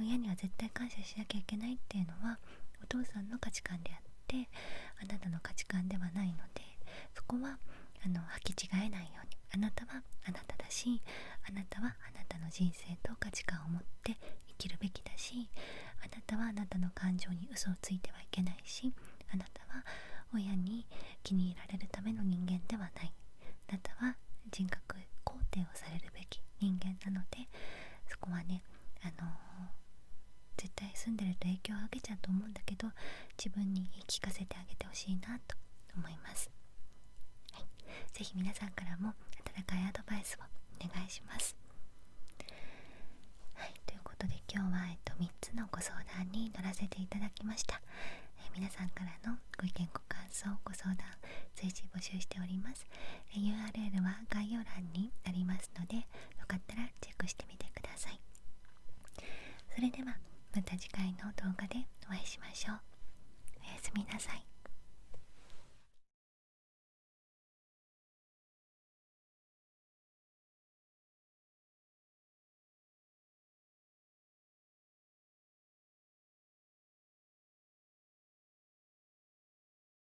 親には絶対感謝しなきゃいけないっていうのはお父さんの価値観であってあなたの価値観ではないのでそこはあの履き違えないようにあなたはあなただしあなたはあなたの人生と価値観を持って生きるべきだしあなたはあなたの感情に嘘をついてはいけないしあなたは親に気に入られるための人間ではないあなたは人格肯定をされるべき人間なのでそこはねあの絶対住んでると影響を受けちゃうと思うんだけど自分に言い聞かせてあげてほしいなと思います、是非皆さんからも温かいアドバイスをお願いしますということで今日は、えっと、3つのご相談に乗らせていただきました、え皆さんからのご意見ご感想ご相談随時募集しております、え URL は概要欄にありますのでよかったらチェックしてみてくださいそれではまた次回の動画でお会いしましょうおやすみなさい